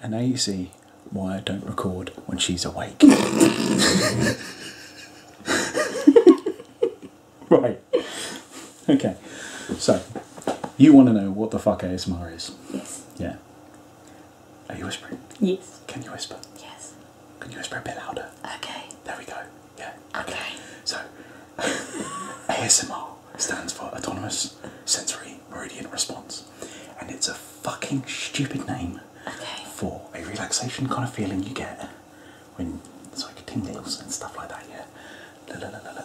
And now you see why I don't record when she's awake. right. Okay. So, you want to know what the fuck ASMR is? Yes. Yeah. Are you whispering? Yes. Can you whisper? Yes. Can you whisper a bit louder? Okay. There we go. Yeah. Okay. So, ASMR stands for Autonomous Sensory Meridian Response, and it's a fucking stupid name for a relaxation kind of feeling you get when it's like tingles and stuff like that. Yeah.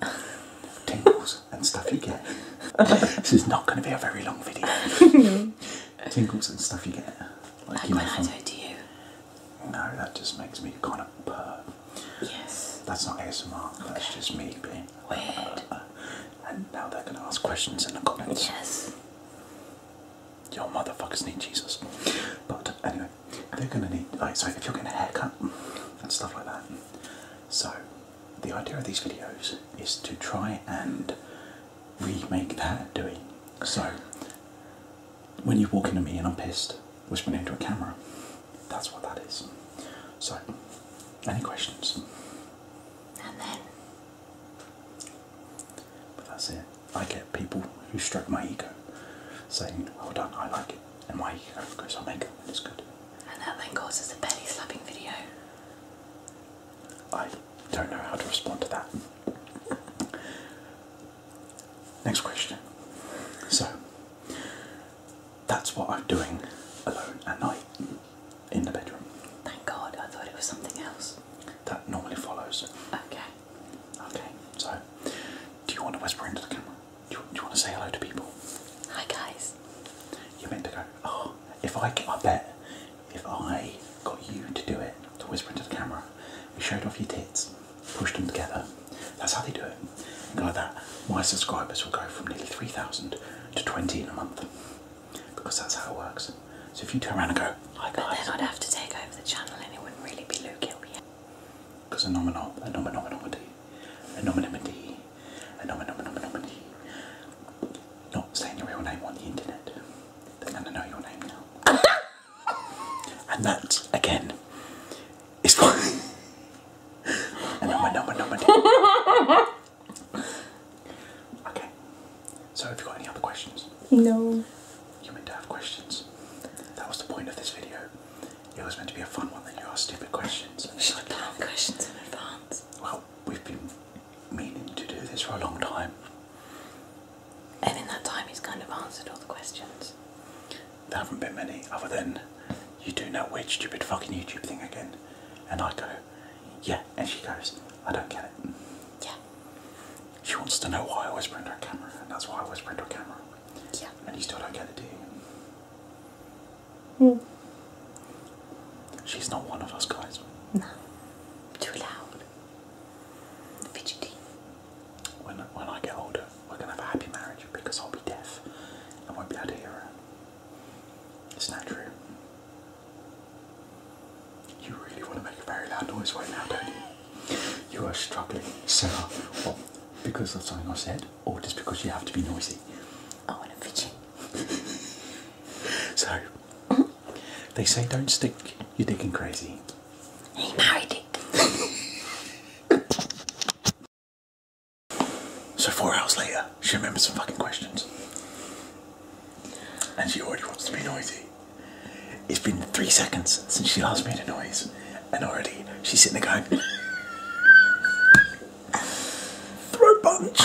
tingles and stuff you get. this is not going to be a very long video. Tinkles and stuff you get. Like, like you know, when from... do No, that just makes me kind of purr. Yes. That's not ASMR, okay. that's just me being weird. and now they're going to ask questions in the comments. Yes. Your motherfuckers need Jesus. But anyway, they're going to need, like, so if you're getting a haircut and stuff like that. So, the idea of these videos is to try and we make that, do we? So, when you walk into me and I'm pissed, whispering into a camera, that's what that is. So, any questions? And then. But that's it. I get people who stroke my ego saying, Well done, I like it. And my ego goes, I'll make it, and it's good. And that then causes a belly slapping video. I don't know how to respond to that. Next question. So, that's what I'm doing alone at night in the bedroom. Thank God, I thought it was something else. That normally follows. Okay. Okay, so, do you want to whisper into the camera? Do you, want to say hello to people? Hi, guys is you're meant to go, oh, if I, I bet, if I got you to do it, to whisper into the camera, you showed off your tits, pushed them together, that's how they do it. And like that, my subscribers will go from nearly 3,000 to 20 in a month because that's how it works. So if you turn around and go, hi guys. But then I'd have to take over the channel and it wouldn't really be Luke, it'll be Because a nominal, a nominal, nominal, anonymity, anonymity, not saying your real name on the internet. They're going to know your name now. and that, again, is what anonymity. okay, so have you got any other questions? No. You meant to have questions. That was the point of this video. It was meant to be a fun one, then you ask stupid questions. should like, plan questions in advance. Well, we've been meaning to do this for a long time. And in that time, he's kind of answered all the questions. There haven't been many, other than you do that weird, stupid fucking YouTube thing again. And I go, yeah. And she goes, I don't get it. Yeah. She wants to know why I whisper into a camera, and that's why I whisper into a camera. Yeah. I still do not get it, do you? Hmm. She's not one of us guys. No. Too loud. Fidgety. When, when I get older, we're gonna have a happy marriage because I'll be deaf and won't be able to It's not true. You really want to make a very loud noise right now, do you are struggling, so, What? Because of something I said, or just because you have to be noisy? I want to fidget. so, they say don't stick You're digging crazy. He married it. so four hours later, she remembers some fucking questions. And she already wants to be noisy. It's been three seconds since she last made a noise, and already she's sitting there going, Throat punch!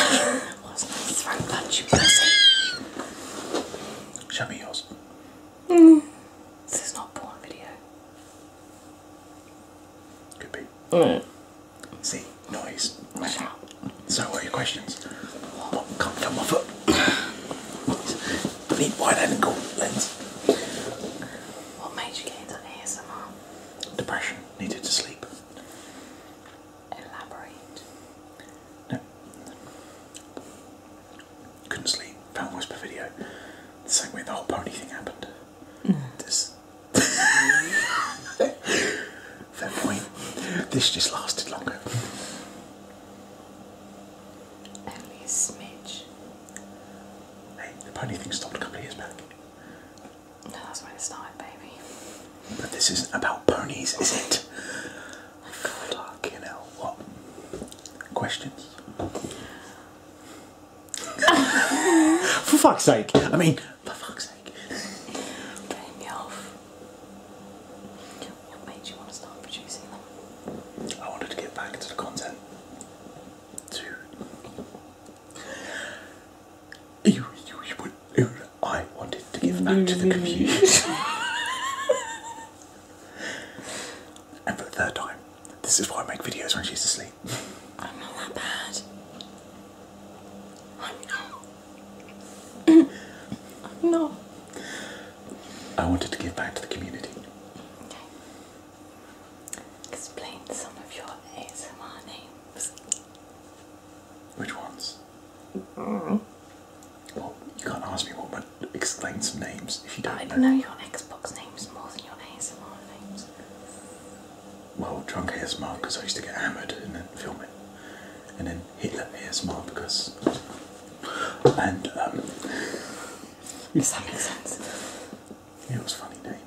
What's my throat punch, you pussy? Show me yours. Mm. This is not porn video. Could be. Mm. See, noise. So, what are your questions? What can't come off it? Need wide angle lens. What made you get into ASMR? Depression. Needed to sleep. Elaborate. No. Couldn't sleep. Found whisper video. The same way the whole pony thing happened. Mm. This. Fair point. This just lasted longer. Only a smidge. Hey, the pony thing stopped a couple of years back. No, that's when it started, baby. But this isn't about ponies, is it? My God. Fucking what? Questions? For fuck's sake, I mean, for fuck's sake. Putting me off. What made you want to start producing them? I wanted to get back to the content. To you, you, you would, I wanted to give back to the mm-hmm. community. and for the third time, this is why I make videos when she's asleep. I'm not that bad. I'm not. I'm not. I wanted to give back to the community. Explain some of your ASMR names. Which ones? Mm. Well, you can't ask me what, but explain some names if you don't know. I know your Xbox names more than your ASMR names well, drunk ASMR because I used to get hammered and then film it, and then Hitler ASMR because. And, um. Does that make sense? Yeah, it was a funny name.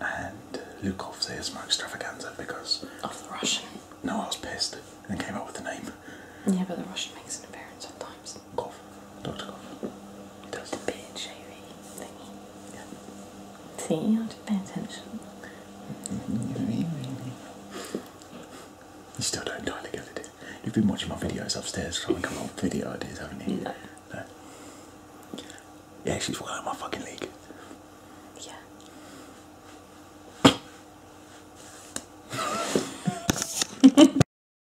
And uh, Lukov is ASMR extravaganza because. Of the Russian. No, I was pissed and came up with the name. Yeah, but the Russian makes an appearance sometimes. Cough. Doctor Cough. does. The beard shaving thingy. See, you have to pay attention. Mm-hmm. You still don't entirely get it. You've been watching my videos upstairs trying to come up with video ideas, haven't you? No. Yeah, she's well my fucking league. Yeah.